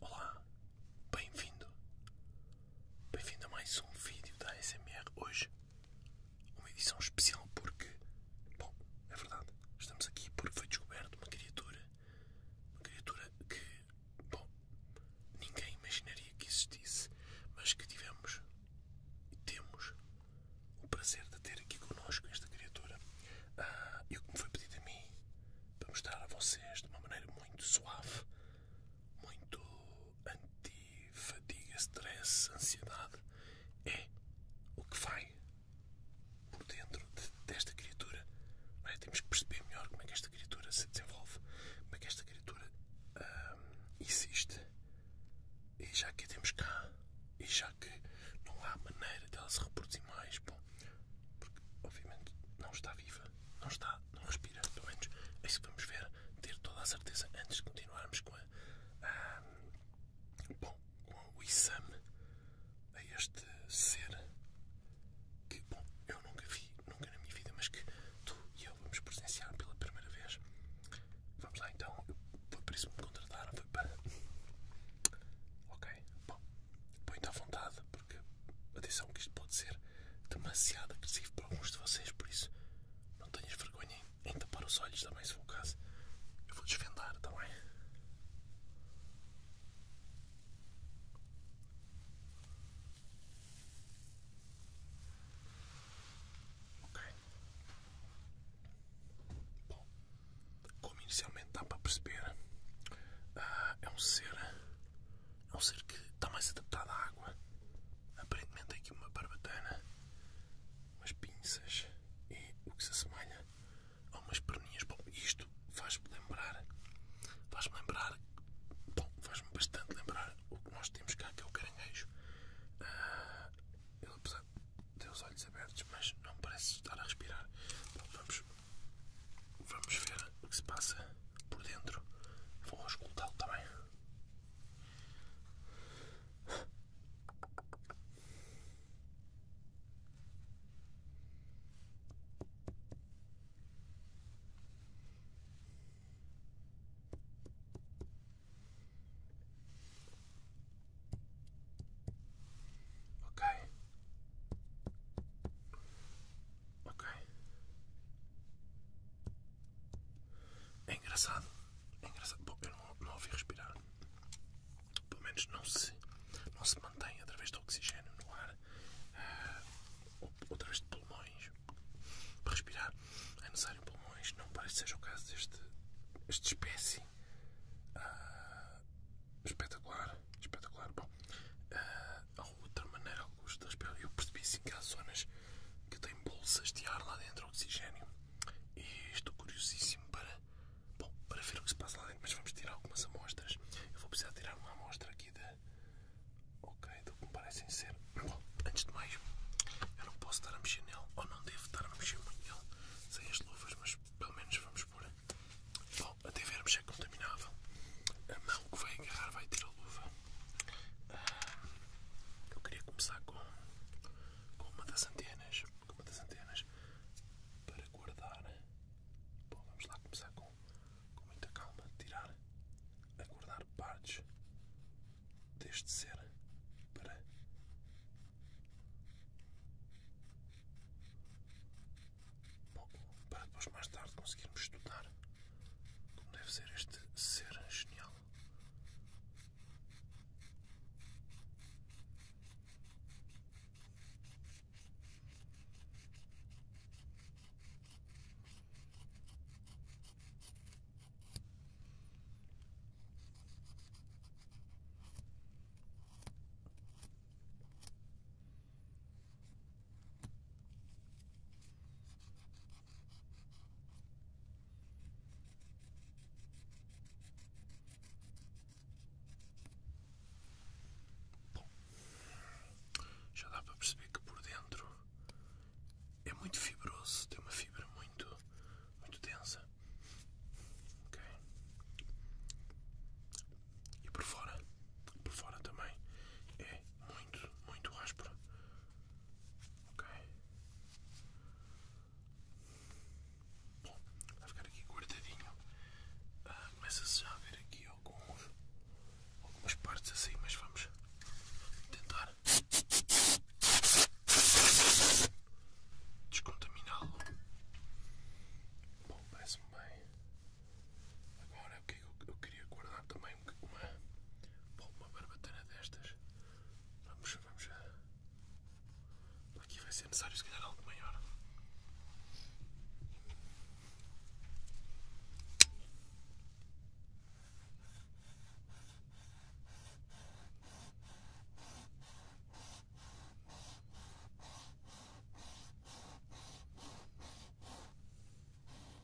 Olá, bem-vindo, bem-vindo a mais um vídeo da ASMR hoje, uma edição especial porque, bom, é verdade, estamos aqui porque foi descoberto uma criatura, uma criatura que, bom, ninguém imaginaria que existisse, mas que tivemos e temos o prazer de ter aqui connosco esta criatura ah, e o que me foi pedido a mim para mostrar a vocês de uma maneira muito suave muito anti-fadiga, stress, ansiedade. É o que vai por dentro desta criatura. É? Temos que perceber melhor como é que esta criatura se desenvolve, como é que esta criatura hum, existe. E já que a temos cá, e já que não há maneira dela se reproduzir mais, bom, porque obviamente não está viva, não está não respira pelo menos é isso que vamos ver, ter toda a certeza antes de continuarmos com a, bom, com o isam a este ser que, bom, eu nunca vi, nunca na minha vida, mas que tu e eu vamos presenciar pela primeira vez. Vamos lá então, foi por isso que me contrataram, foi para... Ok, bom, põe-te à vontade, porque atenção que isto pode ser demasiado agressivo para alguns de vocês, por isso não tenhas vergonha em, em tapar os olhos também se for o caso. Eu vou desvendar também. Ok. Bom, como inicialmente dá para perceber, ah, é um ser é um ser que está mais adaptado à água. Aparentemente tem é aqui uma barbatana, umas pinças e o que se assemelha a umas perninhas. Bom, isto faz-me lembrar, faz-me lembrar, bom, faz-me bastante lembrar o que nós temos cá, que é o caranguejo. Ah, ele apesar de ter os olhos abertos, mas não parece estar a respirar. vamos Vamos ver o que se passa por dentro. Vou escutá-lo também. Ok, é engraçado. É engraçado. Bom, eu não, ouvi respirar. Pelo menos não se, não se mantém através do oxigênio no ar ah, ou, através de pulmões. Para respirar é necessário pulmões. Não parece que seja o caso deste esta espécie. Ah, espetacular. Espetacular. Bom, ah, outra maneira alguns das peles. Eu percebi sim que há zonas que tem bolsas de ar lá dentro, oxigênio. E estou curiosíssimo para, para ver o que se passa lá dentro. Mas vamos tirar algumas amostras. Eu vou precisar tirar uma amostra aqui da. Ok, do que me parecem ser. Bom, antes de mais, eu não posso estar a mexer nele, ou não devo estar a mexer muito nele sem as luvas, mas pelo menos vamos por. Bom, até vermos contaminável. A mão que vai agarrar vai tirar a luva. Ah, eu queria começar com, uma das antenas. uma das antenas para guardar. Bom, vamos lá começar com, com muita calma. Tirar, guardar partes deste ser para para depois mais tarde conseguirmos estudar como deve ser este ser genial. Bom, já dá para perceber que por dentro é muito fibroso, tem uma fibra muito, muito densa. Ok. E por fora, por fora também é muito, muito áspera. Ok. Bom, vai ficar aqui guardadinho. Ah, começa-se já a ver aqui alguns, algumas partes assim, mas vamos tentar descontaminá-lo. Bom, parece-me bem. Agora é porque eu, queria guardar também uma, barbatana destas. Vamos, vamos a... Aqui vai ser necessário se calhar algo maior.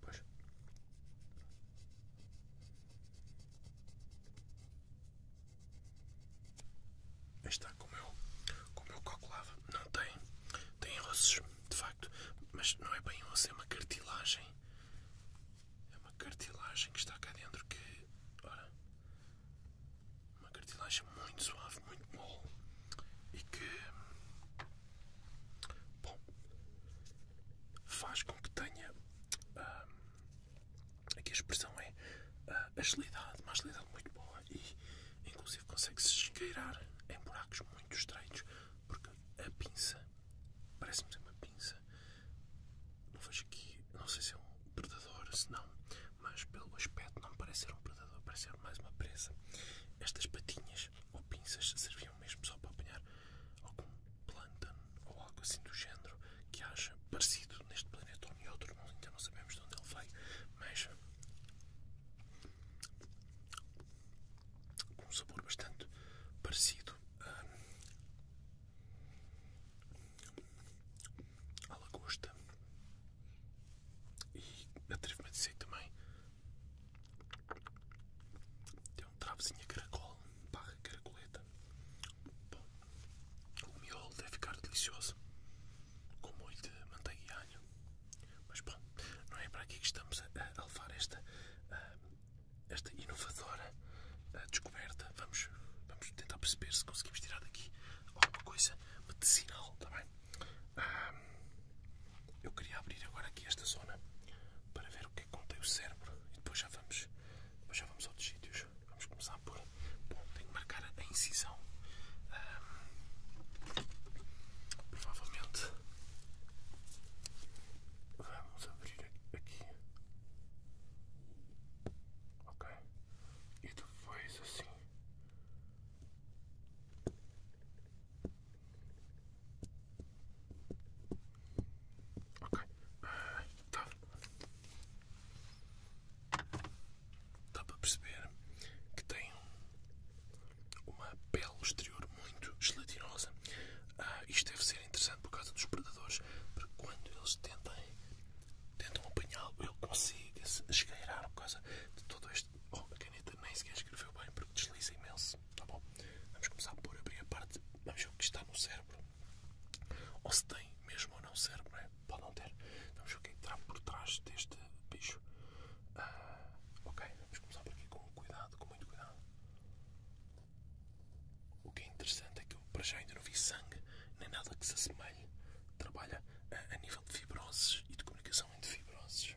Puxa. Está como eu, como eu calculava, não tem, tem ossos de facto, mas não é bem osso, é uma cartilagem, é uma cartilagem que está cá dentro que, ora, uma cartilagem muito suave, muito mole e que Bom, faz com que tenha. Ah, aqui a expressão é uh, agilidade, uma agilidade muito boa e, inclusive, consegue-se esgueirar em buracos muito estreitos porque a pinça parece-me ser uma pinça. Não vejo aqui, não sei se é um predador, se não, mas pelo aspecto não parece ser um predador, parece ser mais uma presa. Estas patinhas ou pinças serviam mesmo só para apanhar algum planta ou algo assim do género que haja parecido neste planeta ou em outro, ainda então não sabemos de onde ele veio, mas com um sabor bastante parecido ah, à lagosta e a me a dizer também. Tem um travozinho a caracol, barra caracoleta. Bom, o miolo deve ficar delicioso, com molho de manteiga e alho. Mas bom, não é para aqui que estamos a, a levar esta, esta inovadora descoberta. Vamos, vamos tentar perceber se conseguimos tirar daqui alguma coisa medicinal, está bem? Ah, eu queria abrir agora aqui esta zona para ver o que é que contém o cérebro e depois já vamos, já vamos a outros sítios. Vamos começar por. Bom, tenho que marcar a incisão. Ah, provavelmente vamos abrir aqui. Ok. E depois assim. Ok, Uh, estava, estava perceber que tem uma pele exterior muito gelatinosa. Ah, isto deve ser interessante por causa dos predadores, porque quando eles tentam, tentam apanhá-lo, ele consegue se esgueirar por causa de todo este. Oh, a caneta nem sequer escreveu bem porque desliza imenso tá bom? Vamos começar por abrir a parte, vamos ver o que está no cérebro, ou se tem mesmo ou não cérebro, é? pode não ter. Vamos ver o que é está por trás deste bicho. Ah, ok, vamos começar por aqui com cuidado, com muito cuidado. O que é interessante é que eu para já ainda não vi sangue, nem nada que se assemelhe. Trabalha a, a nível de fibroses e de comunicação entre fibroses.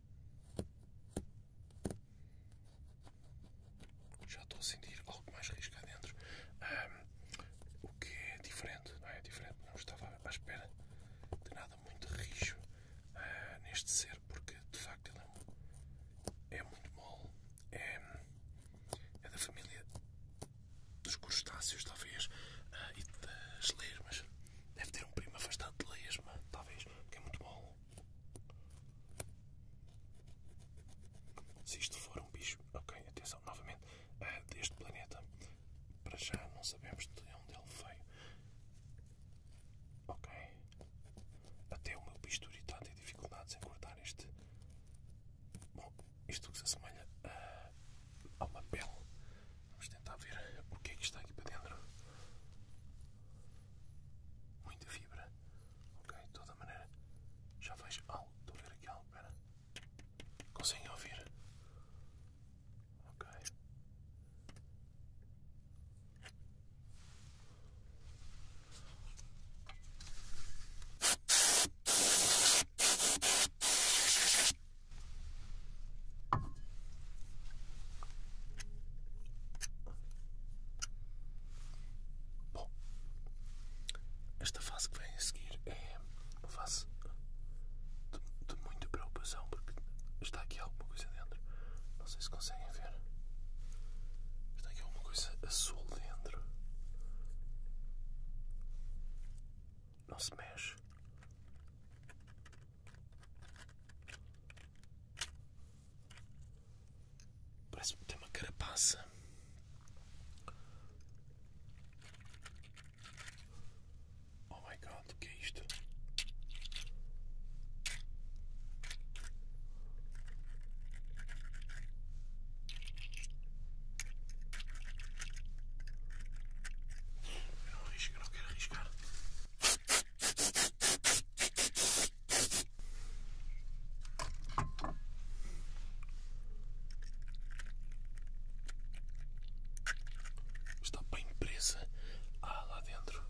Já estou a sentir algo mais risco cá dentro. o que é diferente, não é? Diferente, não estava à espera de nada muito rijo ah, neste ser, porque de facto ele é, é muito mole. É, da família dos crustáceos, talvez, ah, e das lesmas. Deve ter um primo afastado de lesma, talvez, que é muito mole. Se isto for um bicho, ok, atenção, novamente, eh, deste planeta, para já não sabemos de onde ele veio. Ok, até o meu bisturi está a ter dificuldades em cortar este. Bom, isto que se assemelha a, eh, a uma pele. Vamos tentar ver o é que está aqui para dentro. Muita fibra. Ok, de toda maneira já vejo algo, ah, estou a ver aqui algo, pera. Conseguem ouvir? Ok. Bom, esta fase que vem a seguir é uma fase de, de muita preocupação porque está aqui alguma coisa dentro. Não sei se conseguem ver. Está aqui alguma coisa azul dentro. Não se mexe. Parece que tem uma carapaça. Oh my god, o que é isto? Eu não arrisco, não quero arriscar. Está bem presa ah, lá dentro.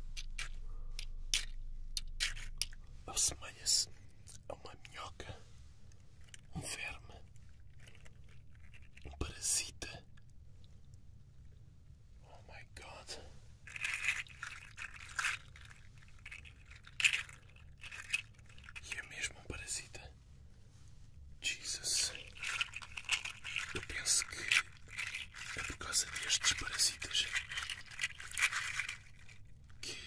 Assemelha-se a uma minhoca, um verme, um parasita. Oh my god. E é mesmo um parasita. Jesus. Eu penso que é por causa destes parasitas que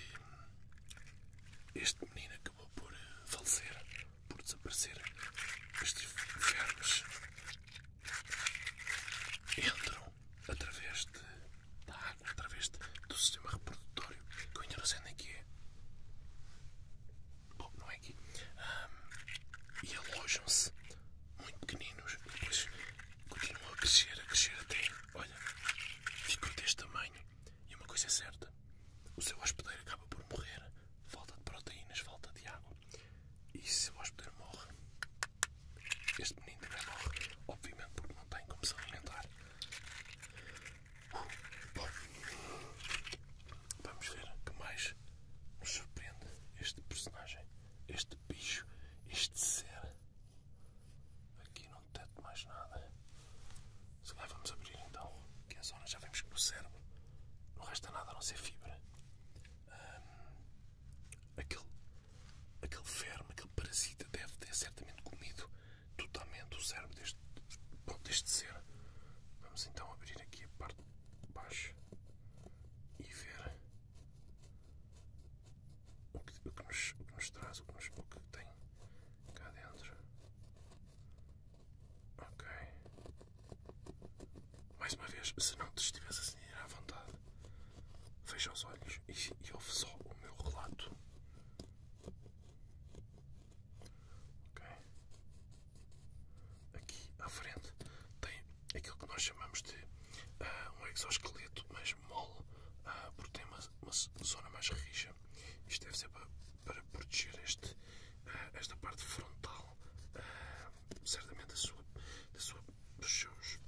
este menino acabou por eh, falecer, por desaparecer. Estes vermes entram através de, da água, através do sistema reprodutório, que eu ainda não sei nem é que é. Bom, não é aqui. e alojam-se muito pequeninos e depois continuam a crescer, a crescer até, olha, ficam deste tamanho. E uma coisa é certa, o seu hospedeiro acaba por morrer, falta de proteínas, falta de água. E se o hospedeiro morre, este menino também morre, obviamente, porque não tem como se alimentar. Bom, vamos ver o que mais nos surpreende este personagem, este bicho, este ser. Aqui não detecto mais nada. Se lá vamos abrir então aqui é a zona. Já vemos que no cérebro não resta nada a não ser fibra. Hum, aquele, aquele verme, aquele parasita deve ter certamente comido totalmente o cérebro deste, deste ser. Vamos então abrir aqui a parte de baixo e ver o que, nos, traz, o que, nos, o tem cá dentro. Ok. Mais uma vez, se não te estivesse assim a à vontade, Fecha os olhos e, e ouve só o meu relato. Aqui à frente tem aquilo que nós chamamos de ah, um exoesqueleto mais mole, uh, porque tem uma, zona mais rija. Isto deve ser para, proteger ah, esta parte frontal, certamente da sua, dos seus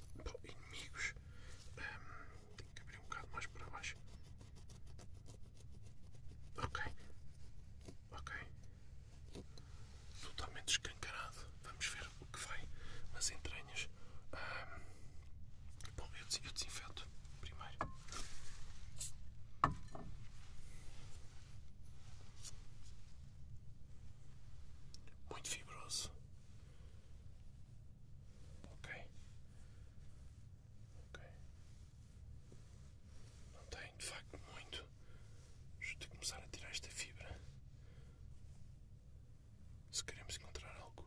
inimigos, um, tenho que abrir um bocado mais para baixo. Ok, ok. Totalmente escancarado. Vamos ver o que vai nas entranhas. bom, eu, des eu desinfeto primeiro. Muito fibroso. Ok. Ok. Não tem de facto muito. Deixa eu começar a tirar esta fibra. Se queremos encontrar algo,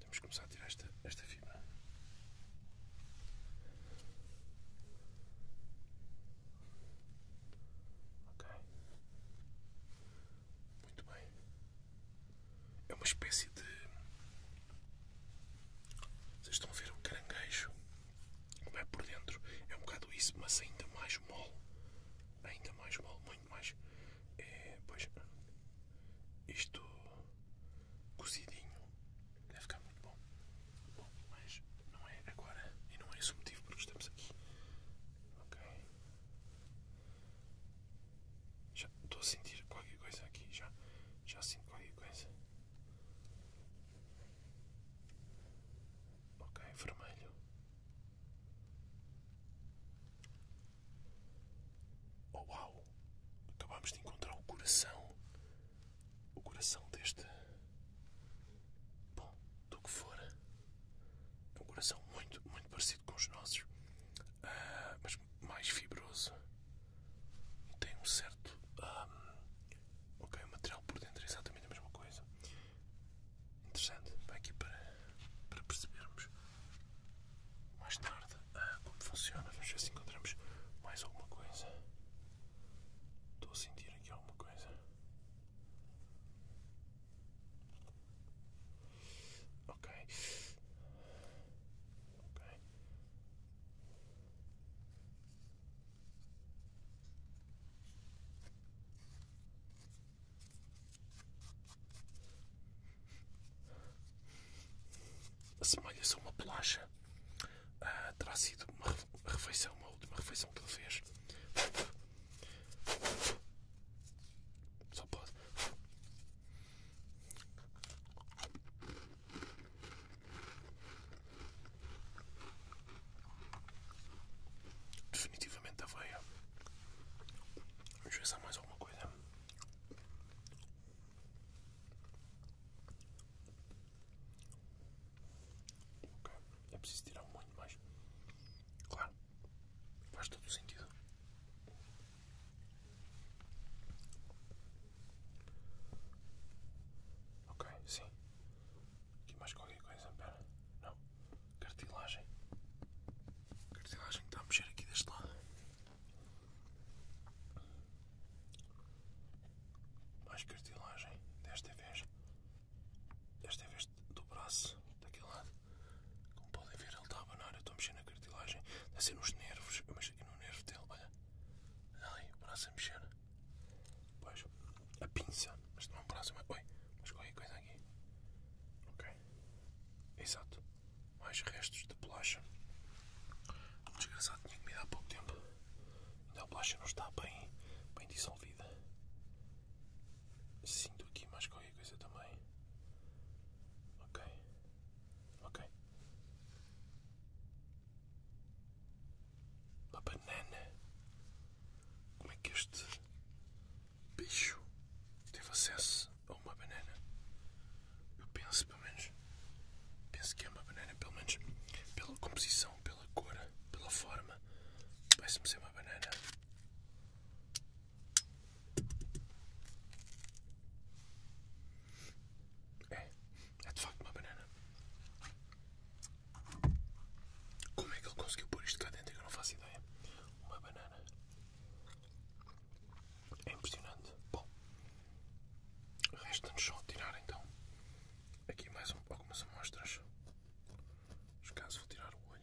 temos de começar a tirar esta, esta fibra. Ok. Muito bem. É uma espécie de. Vocês estão a ver um caranguejo? Como é por dentro? É um bocado isso, mas ainda mais mole. Ainda mais mole, muito mais. É, pois. Isto cozidinho deve ficar muito bom. bom. Mas não é agora e não é esse o motivo por que estamos aqui. Ok. Já estou a sentir qualquer coisa aqui. Já, já sinto qualquer coisa. Ok, vermelho. Oh uau! Acabámos de encontrar o coração. O coração deste. Bom, do que for um coração muito, muito parecido com os nossos, ah, mas mais fibroso. Tem um certo. Ah, ok, o material por dentro é exatamente a mesma coisa. Interessante, vai aqui para, para percebermos mais tarde ah, como funciona. Vamos ver se encontramos mais alguma coisa. Estou a sentir aqui alguma coisa. Okay. Okay. A semelha-se a uma bolacha. Ah, terá sido uma refeição, uma última refeição que ele fez. Só pode. Definitivamente aveia. Vamos pensar mais alguma coisa. Okay. É preciso tirar muito mais. Claro, faz todo o sentido. Ok, sim. Aqui mais qualquer coisa, Não. Cartilagem. Cartilagem que está a mexer aqui deste lado. Mais cartilagem. Desta vez. Desta vez do braço, daquele lado. Como podem ver, ele está a abanar. Eu estou a mexer na cartilagem. Deve ser nos nervos. Eu mexo aqui no nervo dele. Olha, olha ali, o braço a mexer. Pois, a pinça. Mas não é um braço, mas. corre mas coisa aqui. Ok, exato. Mais restos de bolacha. Desgraçado, tinha comido há pouco tempo. Ainda a bolacha não está bem, bem dissolvida. Sinto aqui mais qualquer coisa também. Ok. Ok. Uma banana. Como é que este bicho teve acesso a uma banana? Eu penso, pelo menos. Penso que é uma banana, pelo menos pela composição, pela cor, pela forma. Parece-me ser uma banana. É, é de facto uma banana. Como é que ele conseguiu pôr isto cá dentro? Eu não faço ideia. Uma banana. É impressionante. Bom, resta-nos só tirar então aqui mais algumas amostras. Mas caso vou tirar o olho.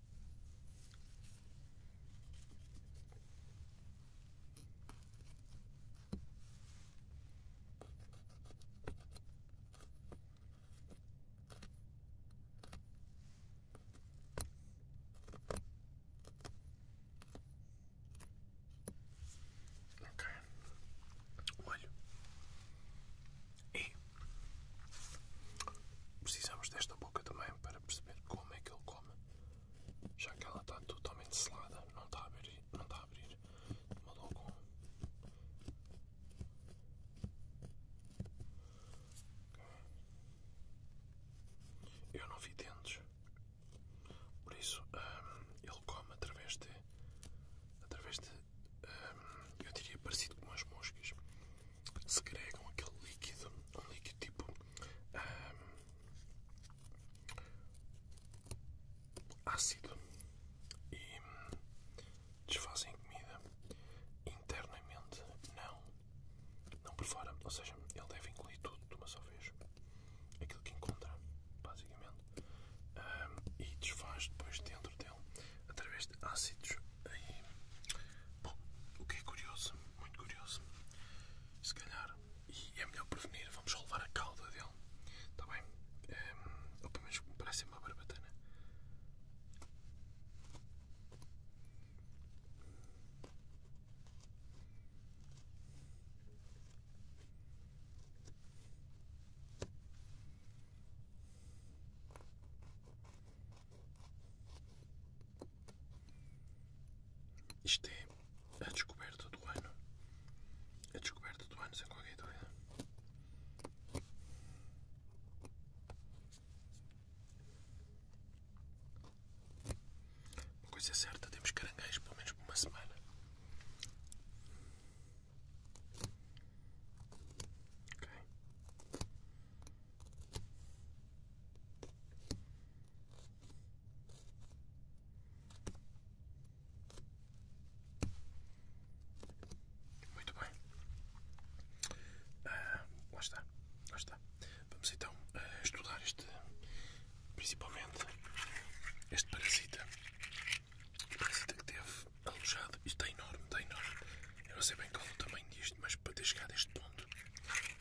Ok, olho e precisamos desta boca também para perceber como é que ele come já que ela está totalmente selada, não está a tá abrir, não está a abrir de modo algum. Eu não vi dentes, por isso hum, ele come através de, através de, hum, eu diria parecido com as moscas segregam aquele líquido, um líquido tipo ácido e desfazem a comida internamente, não, não por fora, ou seja, ele deve incluir tudo de uma só vez, aquilo que encontra, basicamente, e desfaz depois dentro dele através de ácidos. bom, o que é curioso, muito curioso, se calhar, e é melhor prevenir, vamos só levar a cauda dele, está bem? Ehm, ou pelo menos me parece uma barbatana. Isto é a descoberta do ano. A descoberta do ano, sem qualquer dúvida. Uma coisa é certa, temos caranguejos pelo menos por uma semana. Okay. Muito bem. Ah, lá está. Lá está. Vamos então ah, estudar este, principalmente este parasita. O parasita que teve alojado. Isto está é enorme, está enorme. Eu não sei bem qual é o tamanho disto, mas para ter chegado a este ponto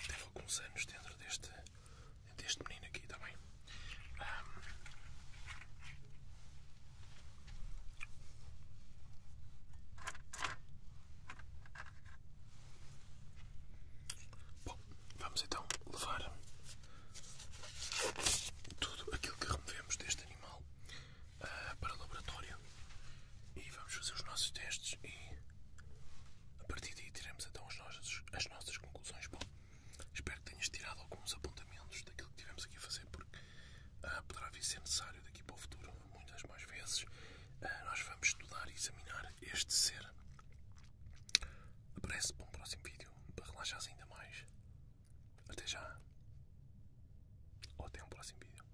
teve alguns anos dentro deste, deste menino aqui também. Tá Bom, vamos então levar tudo aquilo que removemos deste animal ah, para o laboratório e vamos fazer os nossos testes e a partir daí tiramos então as nossas, as nossas conclusões. espero que tenhas tirado alguns apontamentos daquilo que tivemos aqui a fazer, porque ah, poderá vir a ser necessário daqui para o futuro, muitas mais vezes. Ah, nós vamos estudar e examinar este ser. Aparece para um próximo vídeo para relaxar ainda mais. Até já. Ou até um próximo vídeo.